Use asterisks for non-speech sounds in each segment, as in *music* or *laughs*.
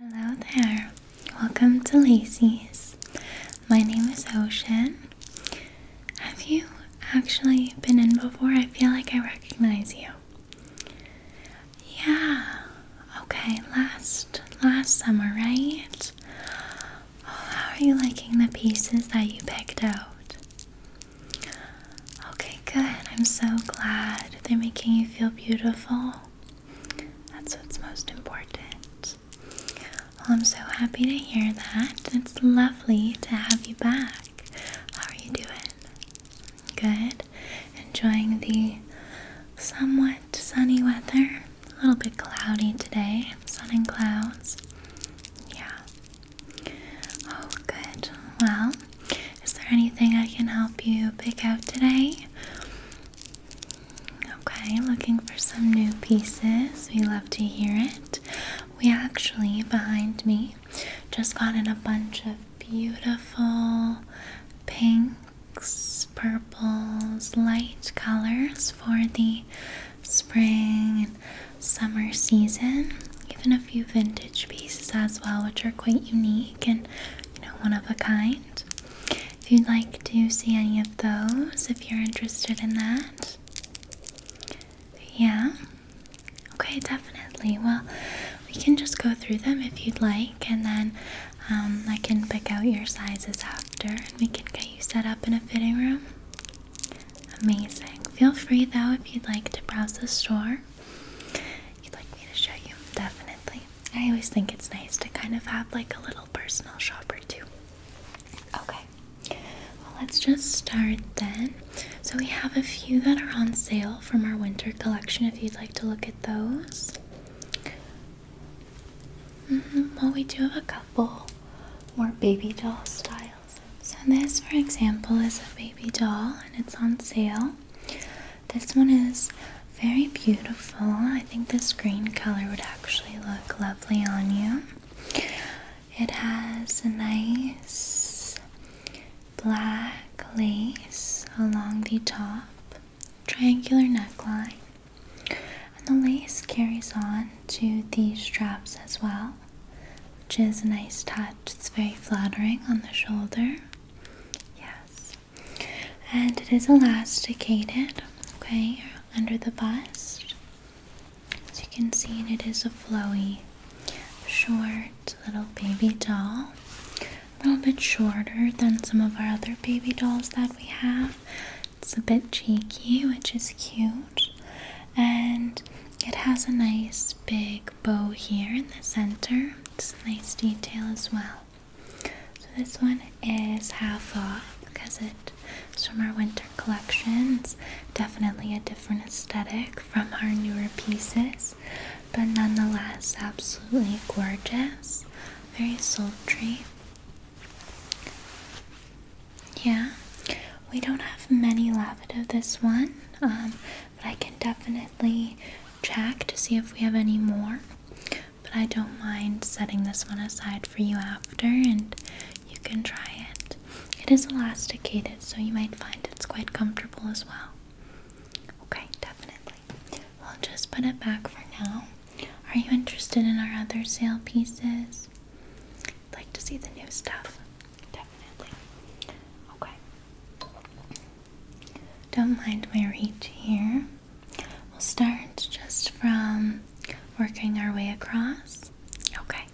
Hello there, welcome to Lacey's. My name is Ocean. Have you actually been in before? I feel like I recognize you. Yeah, okay, last last summer, right? Oh, how are you liking the pieces that you picked out? Okay, good. I'm so glad they're making you feel beautiful. That's what's most important. I'm so happy to hear that. It's lovely to have you back. How are you doing? Good. Enjoying the somewhat sunny weather. A little bit cloudy today. Sun and clouds. Yeah. Oh, good. Well, is there anything I can help you pick out today? Okay, looking for some new pieces. We love to hear it. We actually, behind me, just got in a bunch of beautiful pinks, purples, light colors for the spring and summer season. Even a few vintage pieces as well, which are quite unique and you know one of a kind if you'd like to see any of those, if you're interested in that. Yeah? Okay, definitely. Well, we can just go through them if you'd like, and then um, I can pick out your sizes after and we can get you set up in a fitting room. Amazing. Feel free though if you'd like to browse the store. you'd like me to show you, definitely. I always think it's nice to kind of have like a little personal shopper too. Okay, well, let's just start then. So, we have a few that are on sale from our winter collection if you'd like to look at those. Mm-hmm. Well, we do have a couple more baby doll styles. So, this, for example, is a baby doll and it's on sale. This one is very beautiful. I think this green color would actually look lovely on you. It has a nice black lace along the top, triangular neckline, and the lace carries on to the straps as well, which is a nice touch. It's very flattering on the shoulder. Yes and it is elasticated, okay, under the bust. As you can see, it is a flowy, short little baby doll. A little bit shorter than some of our other baby dolls that we have. It's a bit cheeky, which is cute. And it has a nice big bow here in the center. It's a nice detail as well. So this one is half off because it's from our winter collection. It's Definitely a different aesthetic from our newer pieces, but nonetheless absolutely gorgeous. Very sultry. Yeah, we don't have many left of this one, um, but I can definitely check to see if we have any more but I don't mind setting this one aside for you after and you can try it. It is elasticated, so you might find it's quite comfortable as well. Okay, definitely. We'll just put it back for now. Are you interested in our other sale pieces? like to see the new stuff. Definitely. Okay. Don't mind my reach here. We'll start just from working our way across. Okay.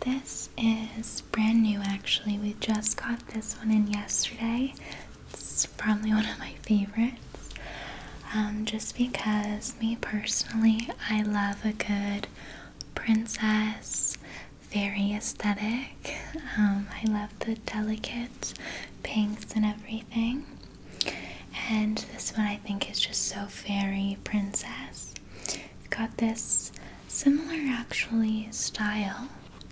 This is brand new actually. We just got this one in yesterday. It's probably one of my favorites. Um, just because, me personally, I love a good princess, fairy aesthetic. Um, I love the delicate pinks and everything. And this one I think is just so fairy princess. got this similar actually style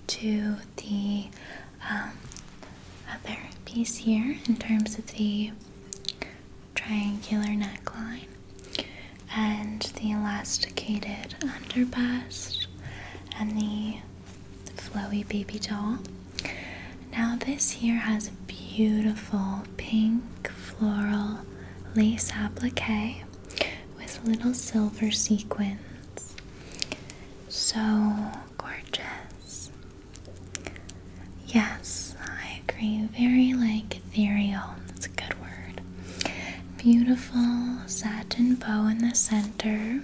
to the um, other piece here in terms of the triangular neckline and the elasticated under bust and the flowy baby doll. Now, this here has a beautiful pink floral lace applique with little silver sequins. So gorgeous. Yes, I agree. Very like ethereal. That's a good word. Beautiful satin bow in the center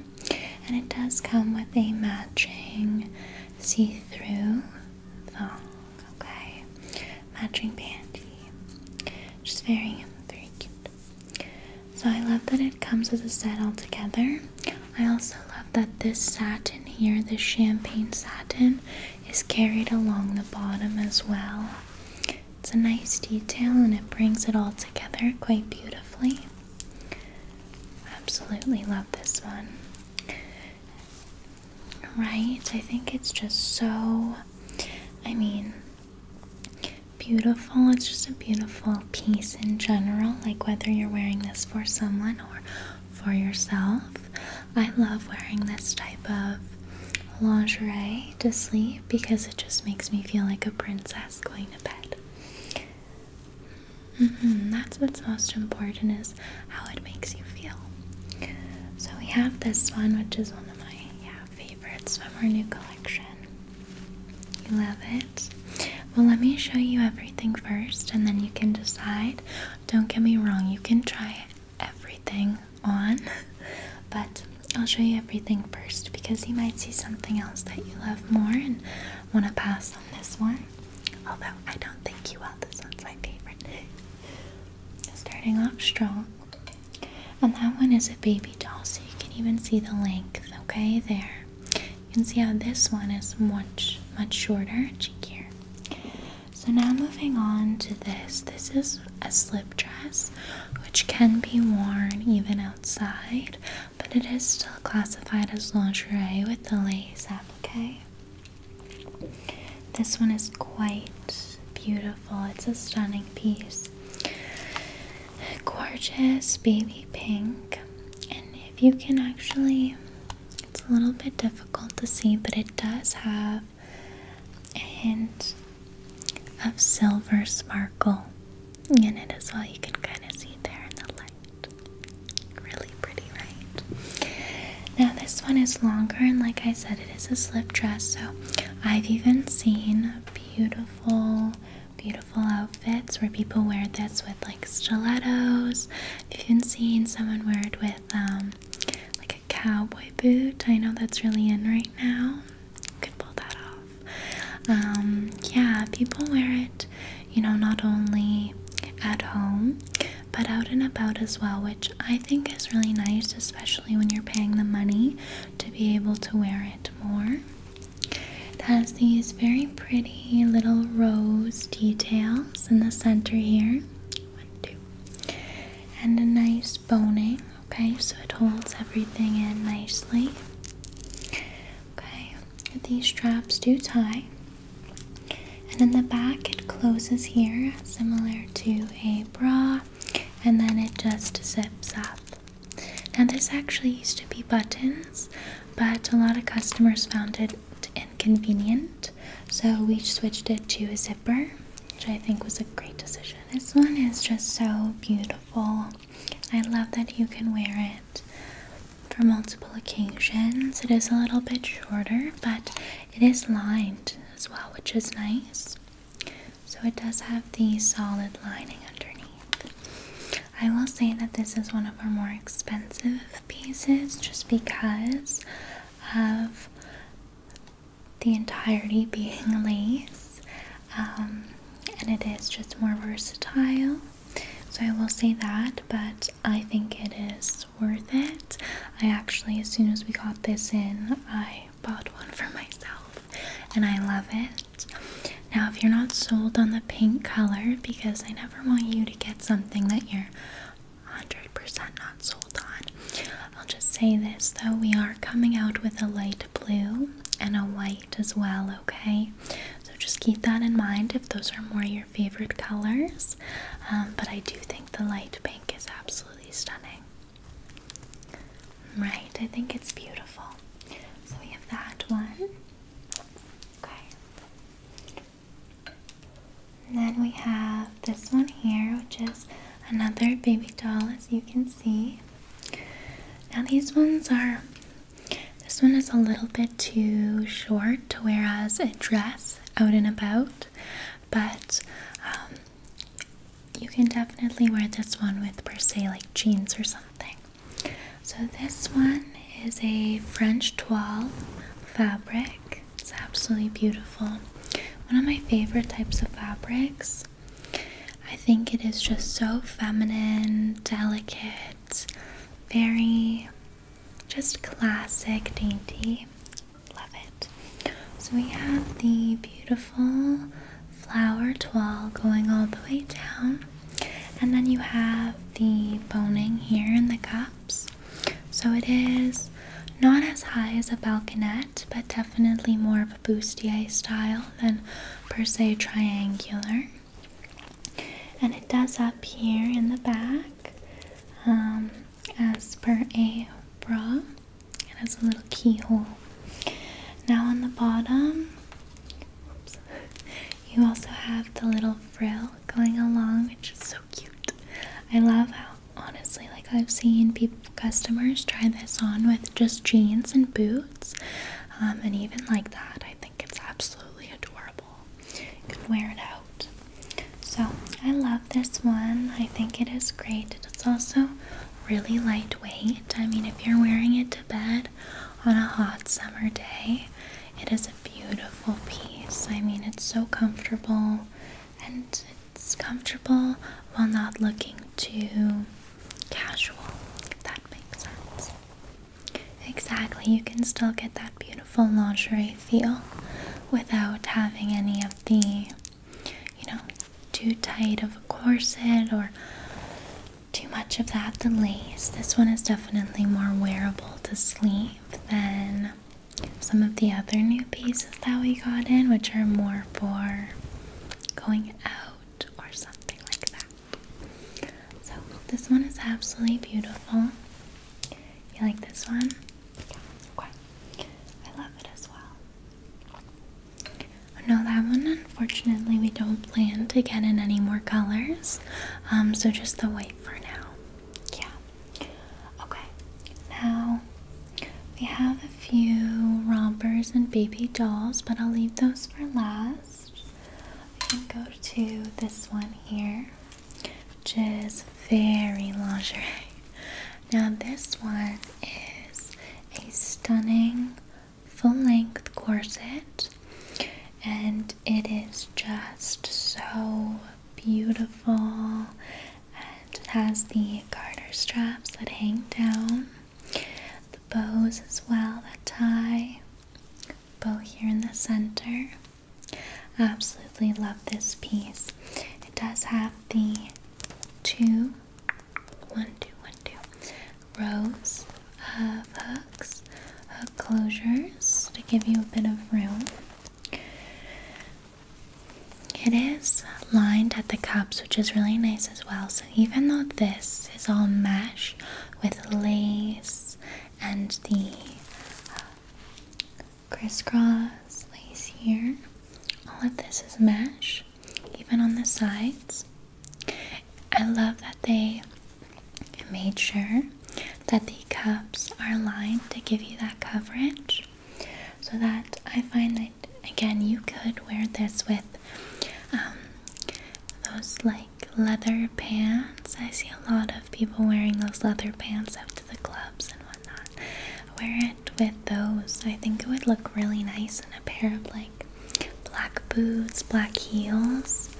and it does come with a matching see-through thong, okay? Matching panty, just very, very cute. So I love that it comes as a set all together. I also love that this satin here, this champagne satin, is carried along the bottom as well. It's a nice detail and it brings it all together quite beautifully. Absolutely love this one. Right? I think it's just so, I mean, beautiful. It's just a beautiful piece in general, like whether you're wearing this for someone or for yourself. I love wearing this type of lingerie to sleep because it just makes me feel like a princess going to bed. Mm-hmm. That's what's most important is how it makes you feel. So we have this one, which is one of my favorites from our new collection. You love it. Well, let me show you everything first, and then you can decide. Don't get me wrong; you can try everything on, *laughs* but I'll show you everything first because you might see something else that you love more and want to pass on this one, although I don't think you will. This one's my favorite. Starting off strong. And that one is a baby doll, so you can even see the length, okay? There. You can see how this one is much, much shorter and cheekier. So now moving on to this. This is a slip dress, which can be worn even outside but it is still classified as lingerie with the lace applique. This one is quite beautiful, it's a stunning piece. Gorgeous baby pink, and if you can actually, it's a little bit difficult to see, but it does have a hint of silver sparkle, in it as well. You can kind of see there in the light. Really pretty, right? Now, this one is longer, and like I said, it is a slip dress, so I've even seen beautiful, beautiful outfits where people wear this with like stilettos. I've even seen someone wear it with um, like a cowboy boot. I know that's really in right now. You can pull that off. Um, yeah, people wear it, you know, not only at home but out and about as well, which I think is really nice, especially when you're paying the money to be able to wear it more. It has these very pretty little rose details in the center here. And a nice boning, okay, so it holds everything in nicely. Okay, these straps do tie and in the back it closes here similar to a bra and then it just zips up now this actually used to be buttons but a lot of customers found it inconvenient so we switched it to a zipper which i think was a great decision this one is just so beautiful I love that you can wear it for multiple occasions. It is a little bit shorter, but it is lined as well, which is nice. So it does have the solid lining underneath. I will say that this is one of our more expensive pieces just because of the entirety being *laughs* lace. Um, and it is just more versatile so I will say that, but I think it is worth it. I actually, as soon as we got this in, I bought one for myself and I love it. Now, if you're not sold on the pink color, because I never want you to get something that you're 100% not sold on, I'll just say this though we are coming out with a light blue and a white as well, okay? So just keep that in mind if those are more your favorite colors. Um, but I do think the light pink is absolutely stunning. Right, I think it's beautiful. So we have that one. Okay. then we have this one here, which is another baby doll, as you can see. Now, these ones are this one is a little bit too short to wear as a dress out and about, but um, you can definitely wear this one with, per se, like jeans or something. So, this one is a French toile fabric, it's absolutely beautiful. One of my favorite types of fabrics. I think it is just so feminine, delicate, very just classic dainty. Love it. So we have the beautiful flower toile going all the way down, and then you have the boning here in the cups. So it is not as high as a balconette, but definitely more of a bustier style than per se triangular and it does up here in the back um, as per a bra it has a little keyhole now on the bottom you also have the little frill going along which is so cute i love how honestly like i've seen people customers try this on with just jeans and boots um, and even like that i think it's absolutely adorable. You can wear it out. So, I love this one. I think it is great. It's also really lightweight. I mean, if you're wearing it to bed on a hot summer day, it is a beautiful piece. I mean, it's so comfortable and it's comfortable while not looking too casual, if that makes sense. Exactly, you can still get that beautiful lingerie feel without having any of the, you know, too tight of a corset or too much of that, the lace. This one is definitely more wearable to sleep than some of the other new pieces that we got in, which are more for going out or something like that. So this one is absolutely beautiful. You like this one? Okay. I love it as well. No, that one unfortunately we don't plan to get in any more colors. Um, so just the white for now. Yeah. Okay. Now we have a few rompers and baby dolls, but I'll leave those for last first. can go to this one here, which is very lingerie. *laughs* Now, this one is a stunning full length corset, and it is just so beautiful. And it has the garter straps that hang down, the bows as well that tie bow here in the center. Absolutely love this piece. It does have the two, one, two, one, two rows of hooks, hook closures to give you a bit of room. It is lined at the cups, which is really nice as well. So even though this is all mesh with lace and the uh, crisscross lace here. All of this is mesh, even on the sides. I love that they made sure that the cups are lined to give you that coverage so that I find that again you could wear this with um, those like leather pants. I see a lot of people wearing those leather pants up to the clubs and whatnot. Wear it with those. I think it would look really nice in a pair of like black boots, black heels.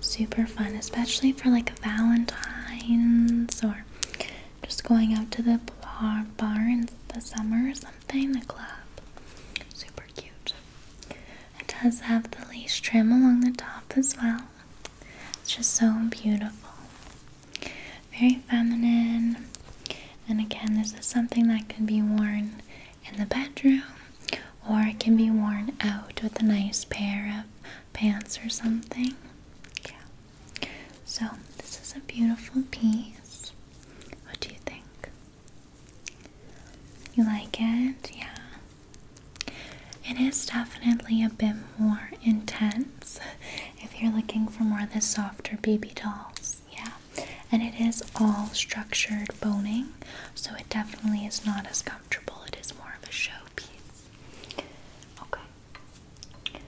Super fun, especially for like Valentine's or just going out to the bar, bar in the summer or something, the club. Super cute. It does have the lace trim along the top as well. It's just so beautiful. Very feminine. And again, this is something that can be worn in the bedroom or it can be worn out with a nice pair of pants or something. Yeah. So, this is a beautiful piece. What do you think? You like it? Yeah. It is definitely a bit more intense if you're looking for more of the softer baby dolls. Yeah. And it is all structured boning, so it definitely is not as comfortable. It is more of a show piece. Okay.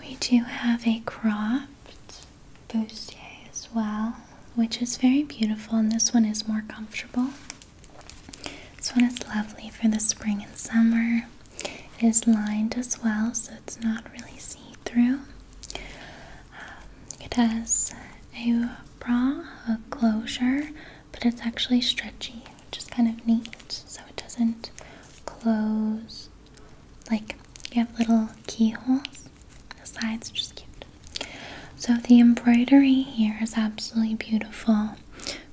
We do have a cropped bustier as well, which is very beautiful, and this one is more comfortable. This one is lovely for the spring and summer. It is lined as well, so it's not really see-through. Um, it has a bra, closure, but it's actually stretchy, which is kind of neat, so it doesn't close. Like you have little keyholes. The sides are just cute. So the embroidery here is absolutely beautiful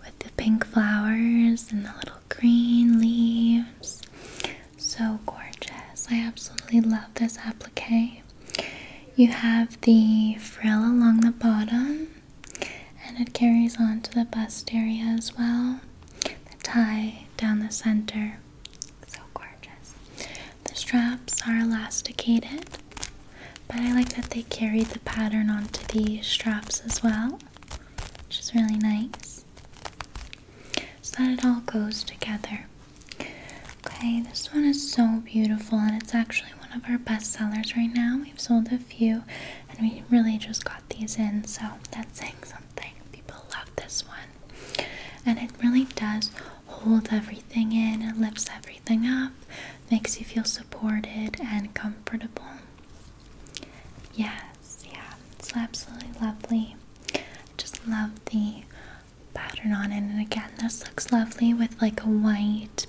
with the pink flowers and the little green leaves. So gorgeous. I absolutely love this applique. You have the frill along the bottom and it carries on to the bust area as well. The tie down the center. So gorgeous. The straps are elasticated but I like that they carried the pattern onto the straps as well, which is really nice. So that it all goes together. Okay, this one is so beautiful, and it's actually one of our best sellers right now. We've sold a few, and we really just got these in, so that's saying something. People love this one, and it really does hold everything in, it lifts everything up makes you feel supported and comfortable. Yes, yeah, it's absolutely lovely. just love the pattern on it. And again, this looks lovely with like a white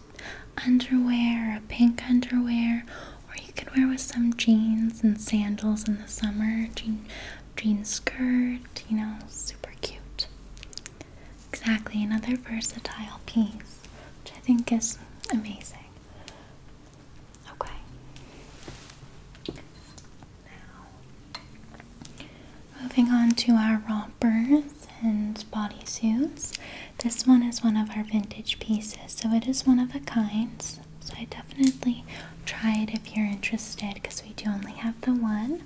underwear, a pink underwear, or you could wear with some jeans and sandals in the summer, jean, jean skirt, you know, super cute. Exactly, another versatile piece, which I think is amazing. Okay. Now, moving on to our rompers and bodysuits. This one is one of our vintage pieces, so it is one of a kind. So I definitely try it if you're interested because we do only have the one.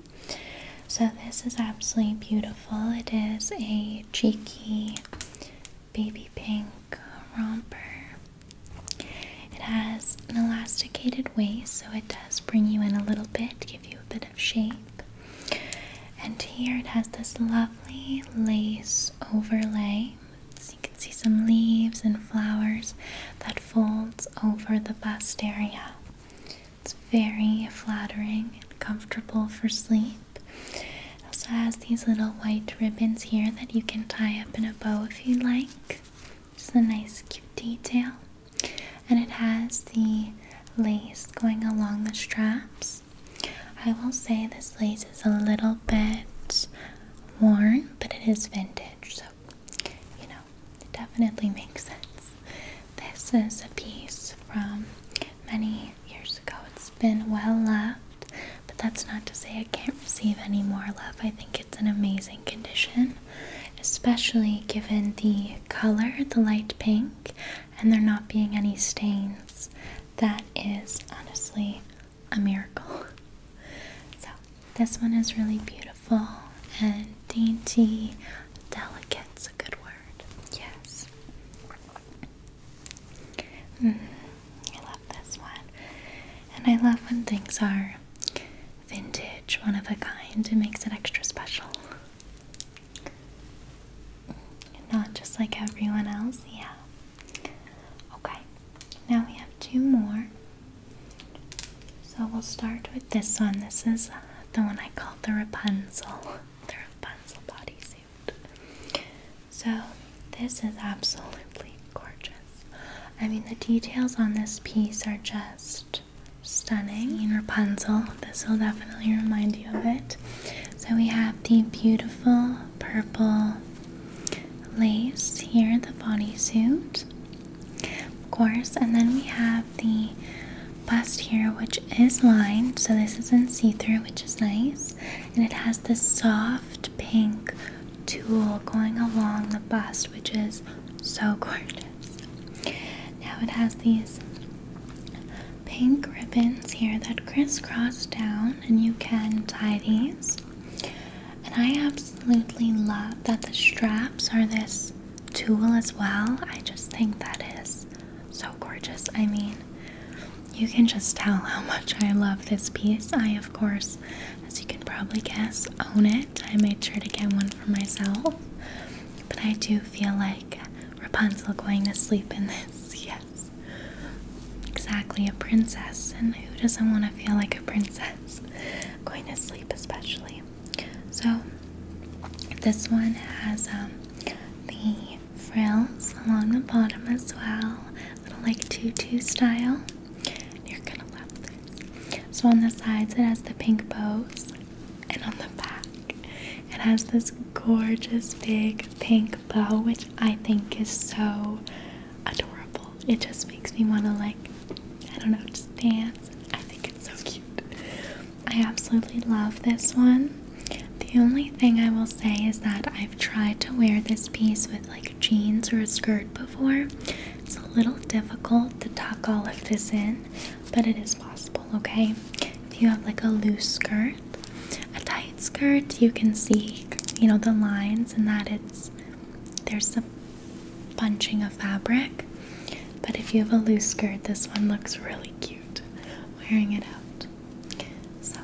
So this is absolutely beautiful. It is a cheeky baby pink romper. It has an elasticated waist, so it does bring you in a little bit, give you a bit of shape. And here it has this lovely lace overlay. So you can see some leaves and flowers that folds over the bust area. It's very flattering and comfortable for sleep. It also has these little white ribbons here that you can tie up in a bow if you like. It's a nice cute detail. And it has the lace going along the straps. I will say this lace is a little bit worn, but it is vintage, so you know, it definitely makes sense. This is a piece from many years ago. It's been well loved, but that's not to say it can't receive any more love. I think it's an amazing condition, especially given the color, the light pink, and there not being any stains. That is honestly a miracle. *laughs* So, this one is really beautiful and dainty, delicate a good word. Yes. Mm, I love this one. And I love when things are vintage, one of a kind. It makes it extra special. Mm, not just like everyone else, yeah. Okay, now we have two more. So we'll start with this one. This is the one I call the Rapunzel their bodysuit. So, this is absolutely gorgeous. I mean, the details on this piece are just stunning. In Rapunzel, this will definitely remind you of it. So, we have the beautiful purple lace here, in the bodysuit, of course, and then we have the bust here, which is lined, so this isn't see through, which is nice. And it has this soft pink tulle going along the bust, which is so *laughs* gorgeous. Now it has these pink ribbons here that crisscross down, and you can tie these. And I absolutely love that the straps are this tulle as well. I just think that is so gorgeous. I mean, you can just tell how much I love this piece. I, of course, as you can probably guess, own it. I made sure to get one for myself. But I do feel like Rapunzel going to sleep in this. *laughs* Yes. Exactly, a princess. And who doesn't want to feel like a princess *laughs* going to sleep, especially? So, this one has um, the frills along the bottom as well, a little like tutu style. You're gonna love this. So on the sides it has the pink bows, and on the back it has this gorgeous big pink bow, which I think is so adorable. It just makes me want to like, I don't know, just dance. I think it's so cute. I absolutely love this one. The only thing I will say is that I've tried to wear this piece with like jeans or a skirt before. It's a little difficult to tuck all of this in, but it is possible, okay? If you have like a loose skirt, a tight skirt, you can see, you know, the lines and that it's there's a bunching of fabric. But if you have a loose skirt, this one looks really cute wearing it out. So,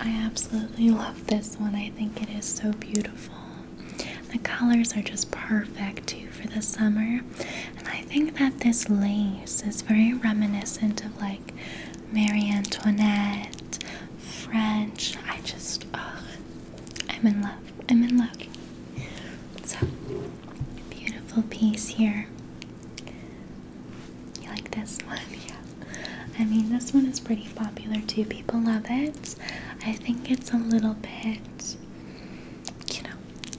I absolutely love this one. I think it is so beautiful. The colors are just perfect too for the summer. And I think that this lace is very reminiscent of like Marianne Antoinette, French. I just, oh, I'm in love. I'm in love. So, beautiful piece here. You like this one? *laughs* Yeah. I mean, this one is pretty popular too. People love it. I think it's a little bit, you know,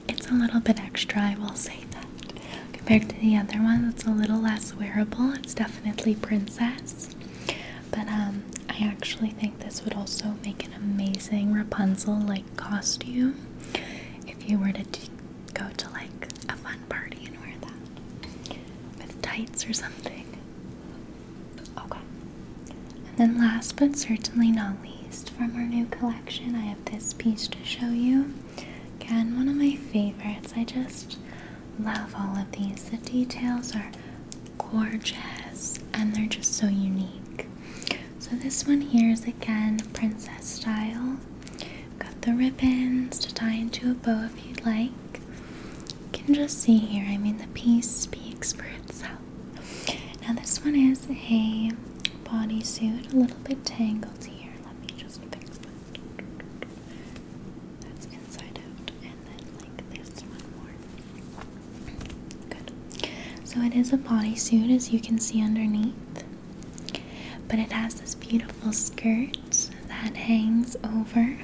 it's a little bit extra, I will say that. Compared to the other one, it's a little less wearable. It's definitely princess. But um, I actually think this would also make an amazing Rapunzel like costume if you were to go to like a fun party and wear that with tights or something. Okay. And then, last but certainly not least, from our new collection, I have this piece to show you. Again, one of my favorites. I just love all of these. The details are gorgeous and they're just so unique. So, this one here is again princess style got the ribbons to tie into a bow if you'd like. You can just see here, I mean, the piece speaks for itself. Now, this one is a bodysuit, a little bit tangled here. Let me just fix that. That's inside out, and then like this one more. Good. So, it is a bodysuit, as you can see underneath. But it has this beautiful skirt that hangs over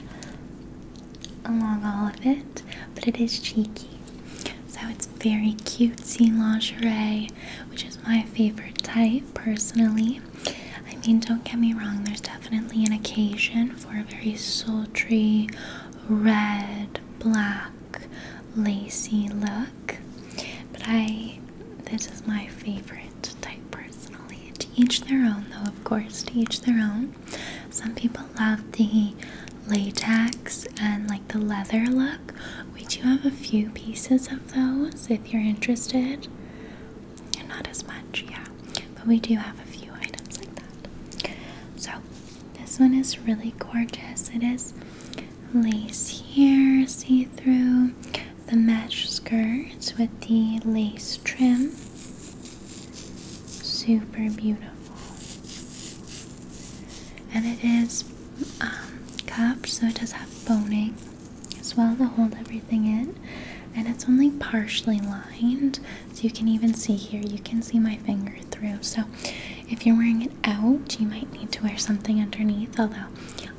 along all of it, but it is cheeky. So it's very cute. See lingerie, which is my favorite type personally. I mean, don't get me wrong, there's definitely an occasion for a very sultry, red, black, lacy look but I this is my favorite type personally. To each their own, though, of course, to each their own. Some people love the latex and like the leather look. We do have a few pieces of those if you're interested. Not as much, yeah, but we do have a few items like that. So, this one is really gorgeous. It is lace here, see through the match skirt with the lace trim. Super beautiful. And it is um, so it does have boning as well to hold everything in. And it's only partially lined, so you can even see here, you can see my finger through. So if you're wearing it out, you might need to wear something underneath, although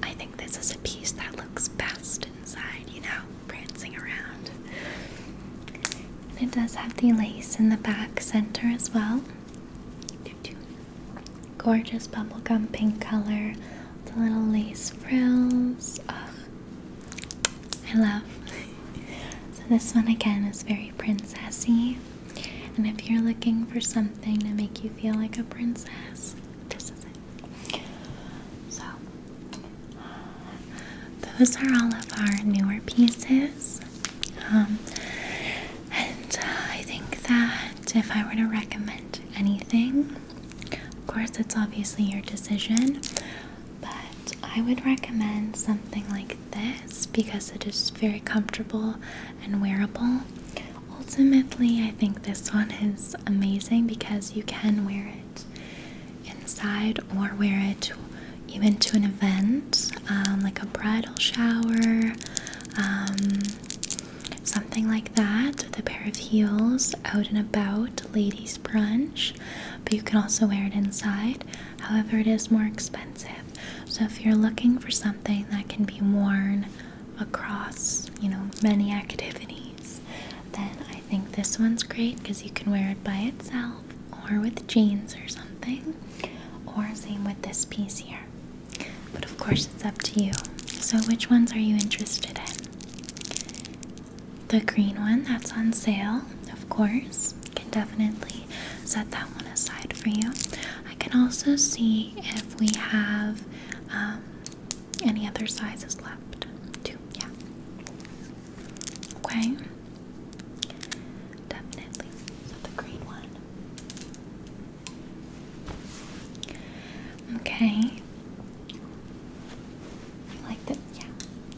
I think this is a piece that looks best inside, you know, prancing around. it does have the lace in the back center as well. Gorgeous bubblegum pink color, the little lace frills. Oh, I love. so this one again is very princessy. And if you're looking for something to make you feel like a princess, this is it. So, those are all of our newer pieces. Um, and I think that if I were to recommend anything, of course, it's obviously your decision, but I would recommend something like this because it is very comfortable and wearable. Ultimately, I think this one is amazing because you can wear it inside or wear it even to an event um, like a bridal shower, um, something like that, with a pair of heels out and about, ladies' brunch. But you can also wear it inside, however, it is more expensive. So, if you're looking for something that can be worn across, you know, many activities, then I think this one's great because you can wear it by itself or with jeans or something, or same with this piece here. But of course, it's up to you. So, which ones are you interested in? The green one that's on sale, of course, can definitely set that one aside for you. I can also see if we have um, any other sizes left? Two, yeah. Okay. Definitely. So the one. Okay. You like that? Yeah.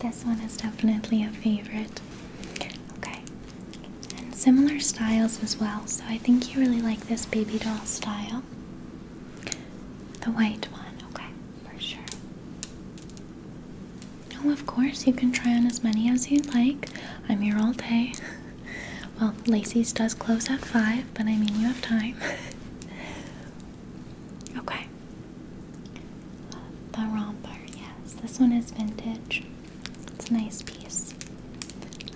This one is definitely a favorite. Okay. And similar styles as well. So I think you really like this baby doll style. The white one, okay, for sure. Oh, of course, you can try on as many as you'd like. I'm here all day. *laughs* well, Lacey's does close at 5, but I mean, you have time. *laughs* okay. The romper, yes, this one is vintage. It's a nice piece.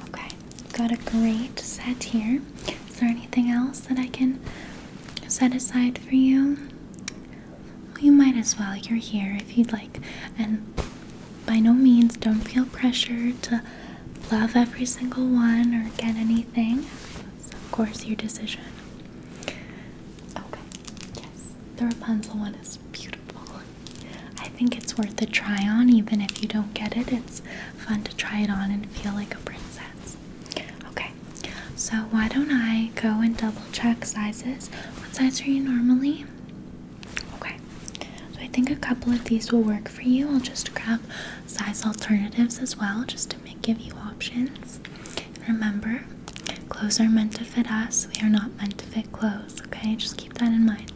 Okay, got a great set here. Is there anything else that I can set aside for you? Well, you might as well. You're here if you'd like. And by no means, don't feel pressure to love every single one or get anything. It's, of course, your decision. Okay, yes. The Rapunzel one is beautiful. I think it's worth a try on, even if you don't get It it's fun to try it on and feel like a princess. Okay, so why don't I go and double check sizes? What size are you normally? Okay, so I think a couple of these will work for you. I'll just grab size alternatives as well just to give you options. Remember, clothes are meant to fit us, we are not meant to fit clothes, okay? Just keep that in mind.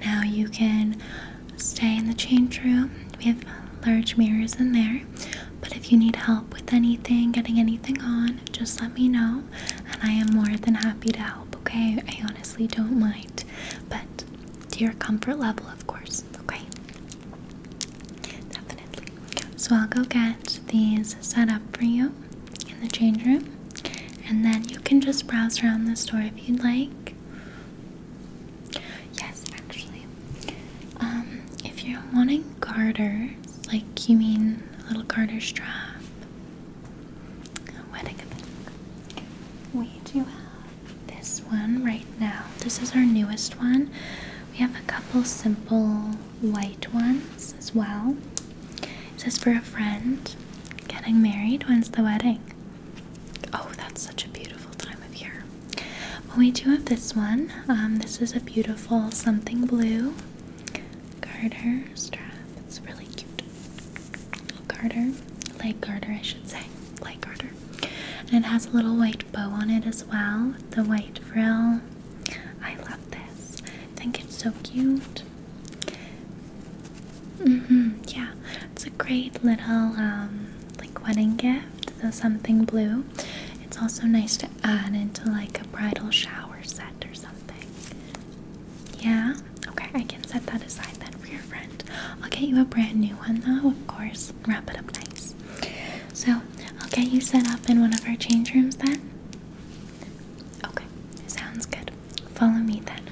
Now you can stay in the change room. We have large mirrors in there. But if you need help with anything, getting anything on, just let me know. And I am more than happy to help, okay? I honestly don't mind. But to your comfort level, of course, okay? Definitely. So I'll go get these set up for you in the change room. And then you can just browse around the store if you'd like. Yes, actually. Um, if you're wanting garters, like you mean little garter strap, wedding we do have this one right now. This is our newest one. We have a couple simple white ones as well. This is for a friend getting married. When's the wedding? Oh, that's such a beautiful time of year. Well, we do have this one. Um, this is a beautiful something blue garter strap. It's really cute. Little Garter, leg garter, I should say. Leg garter. And it has a little white bow on it as well. The white frill. I love this. I think it's so cute. Mm hmm yeah, it's a great little um, like wedding gift, so uh, something blue. It's also nice to add into like a bridal shower set or something. Yeah? Okay, I can set that aside then for your friend. I'll get you a brand new one though, of course. Wrap it up nice. So, I'll get you set up in one of our change rooms then? Okay, sounds good. Follow me then.